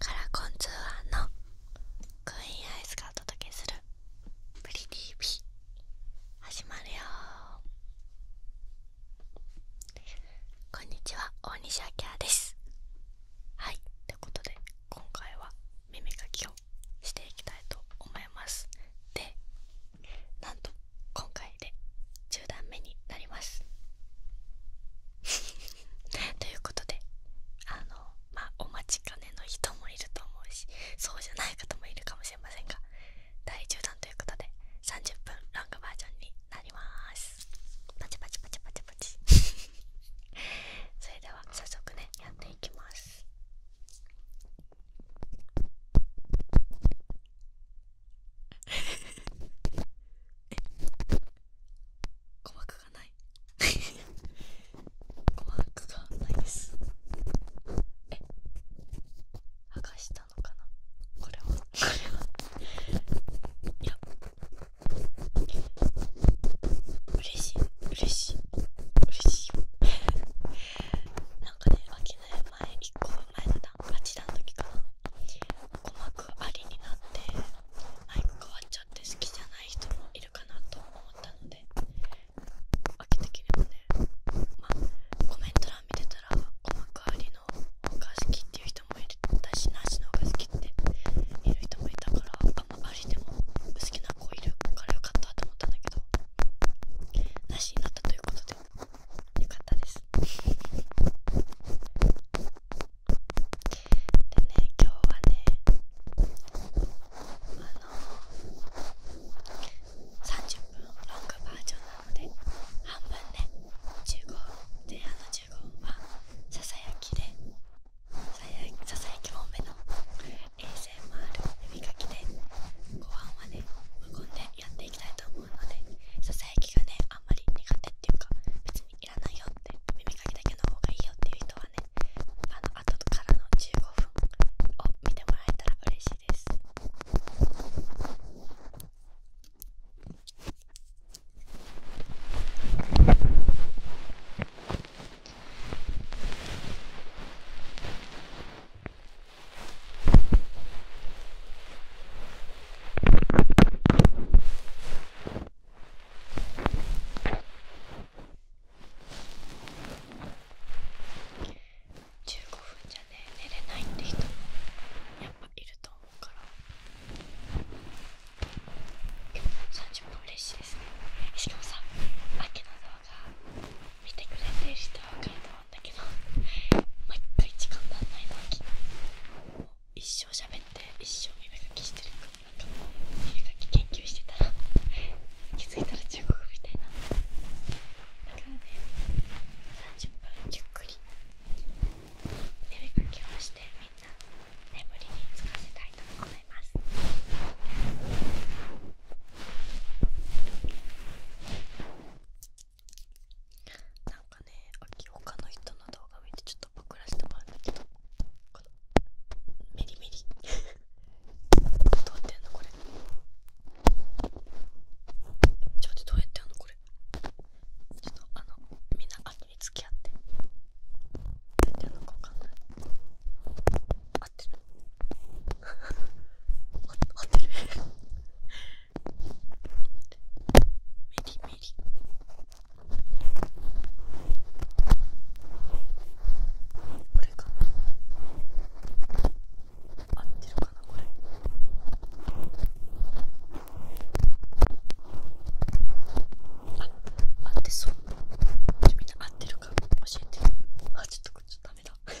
カラコンツアーのクイーンアイスがお届けする「プリ TV」始まるよこんにちは大西明ですはいということで今回は耳かきをしていきたいと思いますでなんと今回で10段目になります ということであのまあお待ちかねの人もいると思うしそうじゃない方もいるかもしれませんが第10弾ということで30分ロングバージョンになりますパチパチパチパチパチ それでは早速ねやっていきます 鼓膜がない鼓膜 がないですえ剥がしたのかなこれはこれはいや嬉しい嬉しい嬉しいなんかね開きない前1個前だな8段の時かな鼓膜ありになってマイ変わっち茶好きじゃない人もいるかなと思ったのでて的れもねまあコメント欄見てたらおまかわりの方が好きっていう人もいたしなしの方が好きっている人もいたからあんまありでも好きな子いるからよかったと思ったんだけどなしになったということでよかったですでね今日はねあの30分ロングバージョンなので半分ね15前半の15分はささやきでささやき多めの衛 ASMR 耳かきで後半はね無言でやっていきたいと思うのでささやきがねあんまり苦手っていうか別にいらないよって耳かきだけの方がいいよっていう人はねあの後からの15分を見てもらえたら嬉しいです耳15分じゃね寝れないって人もやっぱいると思うから30分嬉しいですねしかもさあけの動画見てくれてる人は分いると思うんだけど毎回時間足んないのに一生喋って一生耳かきしてるかなんかき研究してたら気づいたら中国みたいなだからね30分ゆっくり耳かきをしてみんな眠りにつかせたいと思いますなんかね、秋他の人の動画見てちょっと。僕らしてもらうんだけどこのメリメリどうやってやんのこれちょっとどうやってやんのこれちょっとあのみんな後に付き合ってどうやってやんのかわかんない合ってる合ってるメリメリこれかな。合ってるかなこれあ合ってそうみんな合ってるか教えてあちょっとこっちダメだダメだ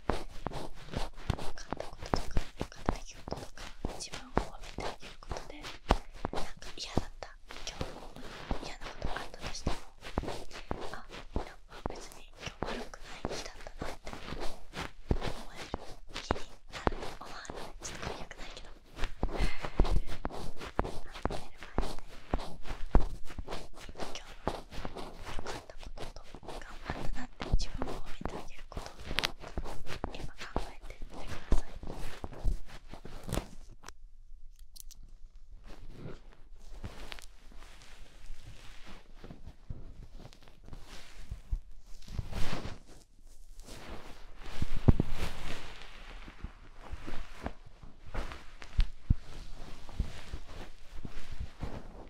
こととか分かった出来事とか自分を褒めてあげことでなんか嫌だった今日も嫌なことあったとしてもあなんか別に今日悪くない日だったなって思える日になる思わないちょっと良くないけど。あの寝る前にね今日のったことと頑張ったなって自分を認めてること今考えてみてください。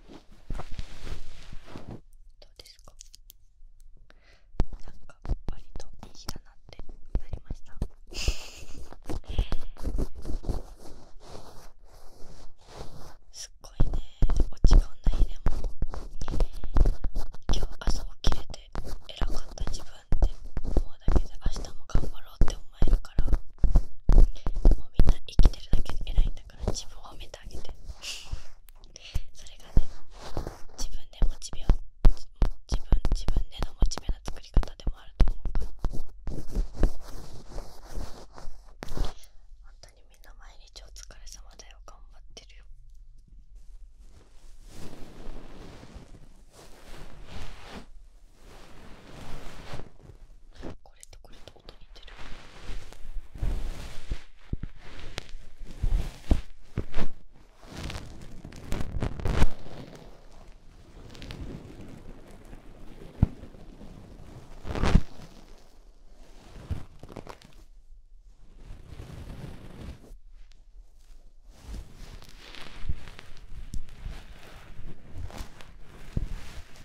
どうですかなんか割といい日だなってなりましたすっごいね落ち込んだ日でも今日朝起きれて偉かった自分って思うだけで明日も頑張うって思からもうみんな生きてるだけで偉いんだから自分を褒めてあげてそれがね自分でモチベを自分自分でのモチベの作り方でもあると思うから本当にみんな毎日お疲れ様だよ頑張ってるよこれとこれと音似てる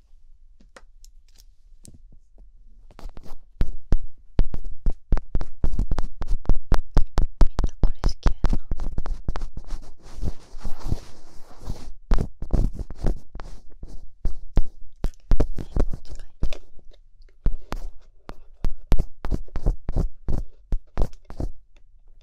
なこれ好きやなメモ使いた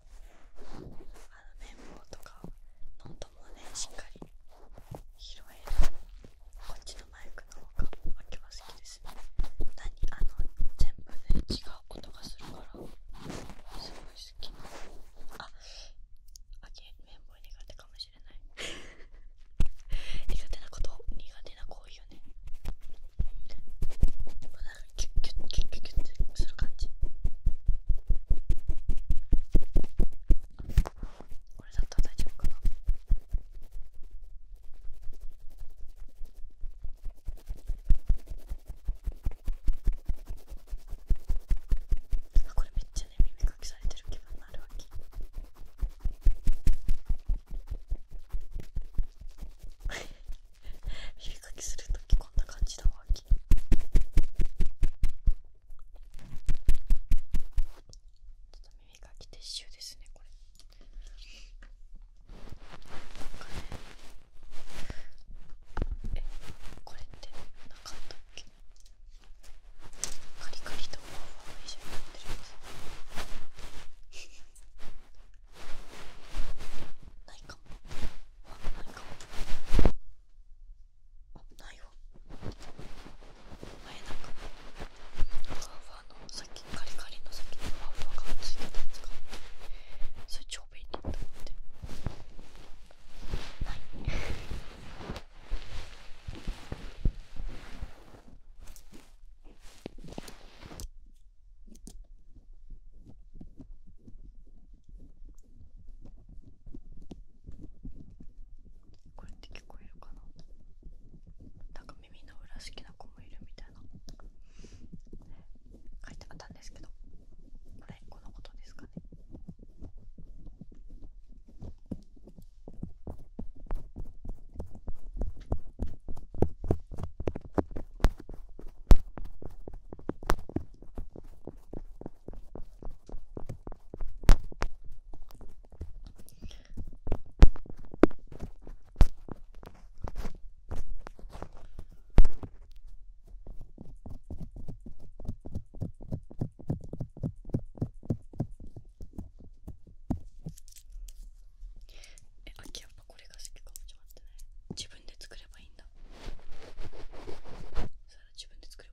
あの綿棒とかノートもねしっかり拾えるこっちのマイクの方が今日は好きです何あの全部ね違う音がするからすごい好きああげ綿棒苦手かもしれない苦手なこと苦手な行為よねなんかキュッキュッキュッキュッってする感じこれだったら大丈夫かなこれめっちゃね耳かきされてる気分になるわけ 耳かきするときこんな感じだわちょっと耳かき撤収ですねこれなんかねえこれってなかったっけカリカリとワわワわの一緒になってるやつないかもわないかもあないわ前なんかふわふわのさっきカリカリの先にふわふわがついてたやつがそれ超便利と思ってないこれって聞こえるかななんか耳の裏好きな子もいるみたいな書いてあったんですけどこれこのことですかねえ、あきやっぱこれが好きかもしれない。自分で作ればいいんだ。それは自分で作ればいい。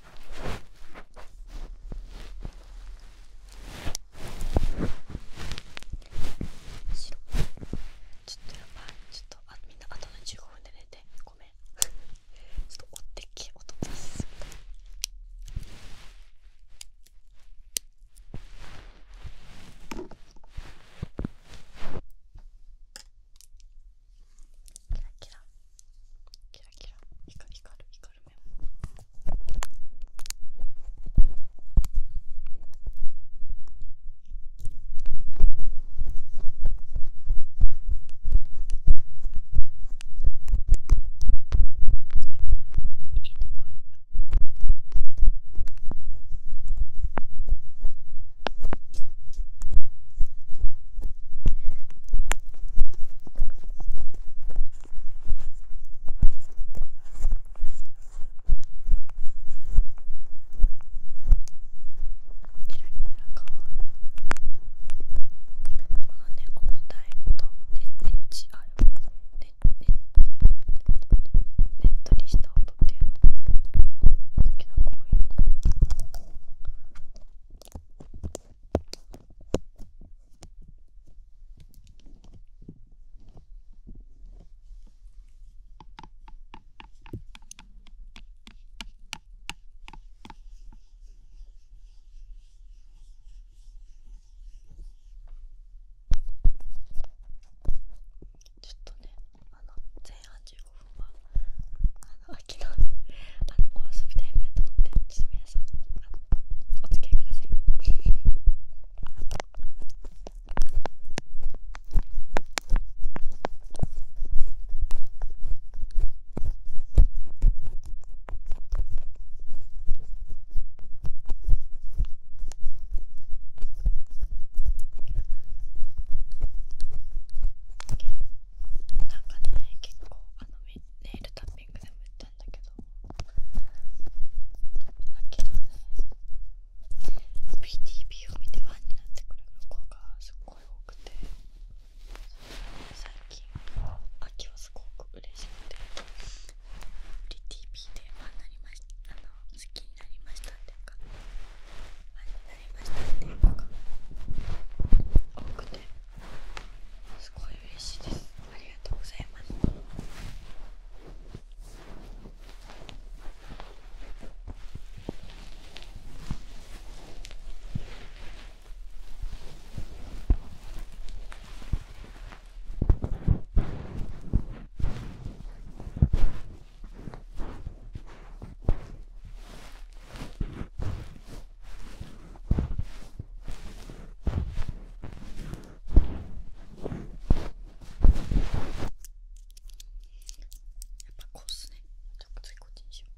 白ちょっとやばいちょっとあみんなあとの15分で寝てごめんちょっと追ってけ音出しすぎたキラキラキラキラ光光る光るメモいいねこれ。キラキラかわいいこのね重たい音ねねっちあれねねねっとりした音っていうのが好けど、こういう。ね。ちょっとねあの前半15分はああの昨日あのお遊びタイムやと思ってちょっと皆さんあのお付き合いくださいなんかね結構あのめっネイルタッピングでも言ったんだけど秋のね PTB を見てファンになってくれる子がすっごい多くて最近秋はすごく嬉しくて PTB でファンになりましあの好きになりましたっていうかファンになりましたっていう子が多くて。すごい嬉しいですありがとうございますあやっぱこうっすねちょっと次こっちにしよう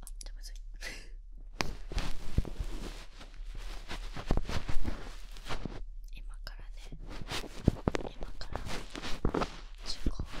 あじゃむずい今からね今から15分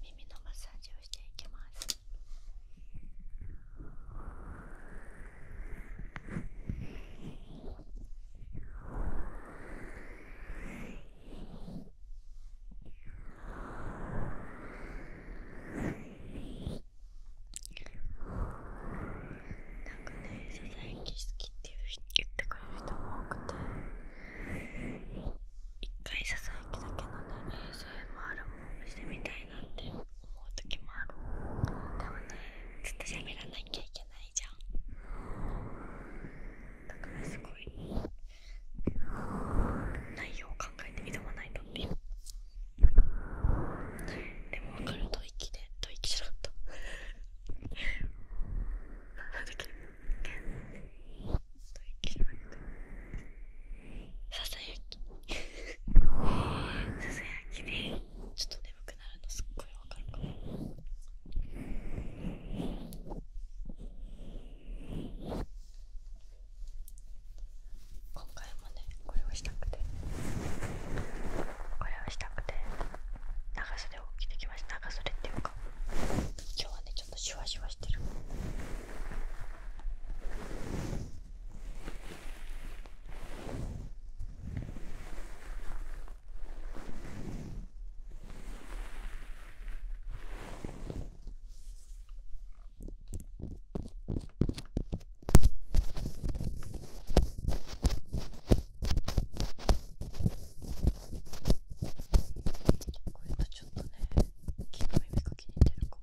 耳のマッサージをしていきます。なんかね、ささやき好きっていう人言ってくれる人も多くて一回ささやきだけのね、そ a s あるもしてみたいなって思う時もあるでもね、ずっと喋らなきゃいけないじゃんだからすごい内容を考えて挑まないのにでも分かると息でと息じゃなかったと息じゃなささやきささやきでちょっと眠くなるのすっごい分かるかも今回もねこれをしたくてこれをしたくて長袖を着てきました長袖っていうか今日はねちょっとシュワシュワしてるこれとちょっとね、木の耳かきに似てるかも。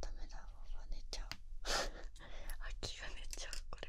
ダメだろう寝ちゃう 秋が寝ちゃうこれ。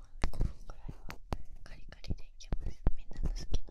5分ぐらいはカリカリでいきますみんなの好きなの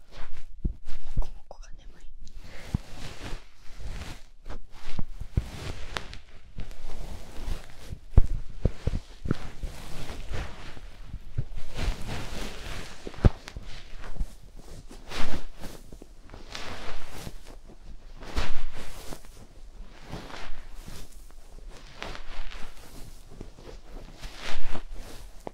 こもこが眠い。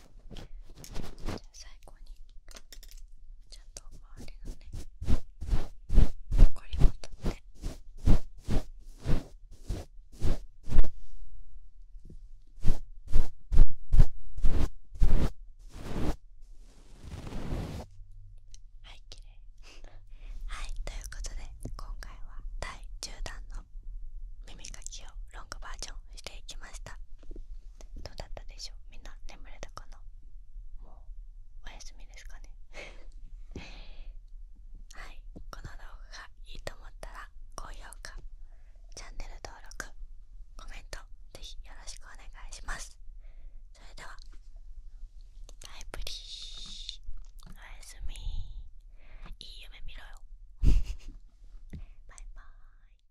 じゃあ、最後にちゃんと周りのねこりも取ってはい綺麗はいということで今回は第10弾の耳かきをロングバージョンしていきましたどうだったでしょうみんな眠れたかなもうおやすみですかね はいこの動画がいいと思ったら高評価チャンネル登録コメントぜひよろしくお願いしますそれではバイプリーおやすみいい夢見ろよ バイバーイ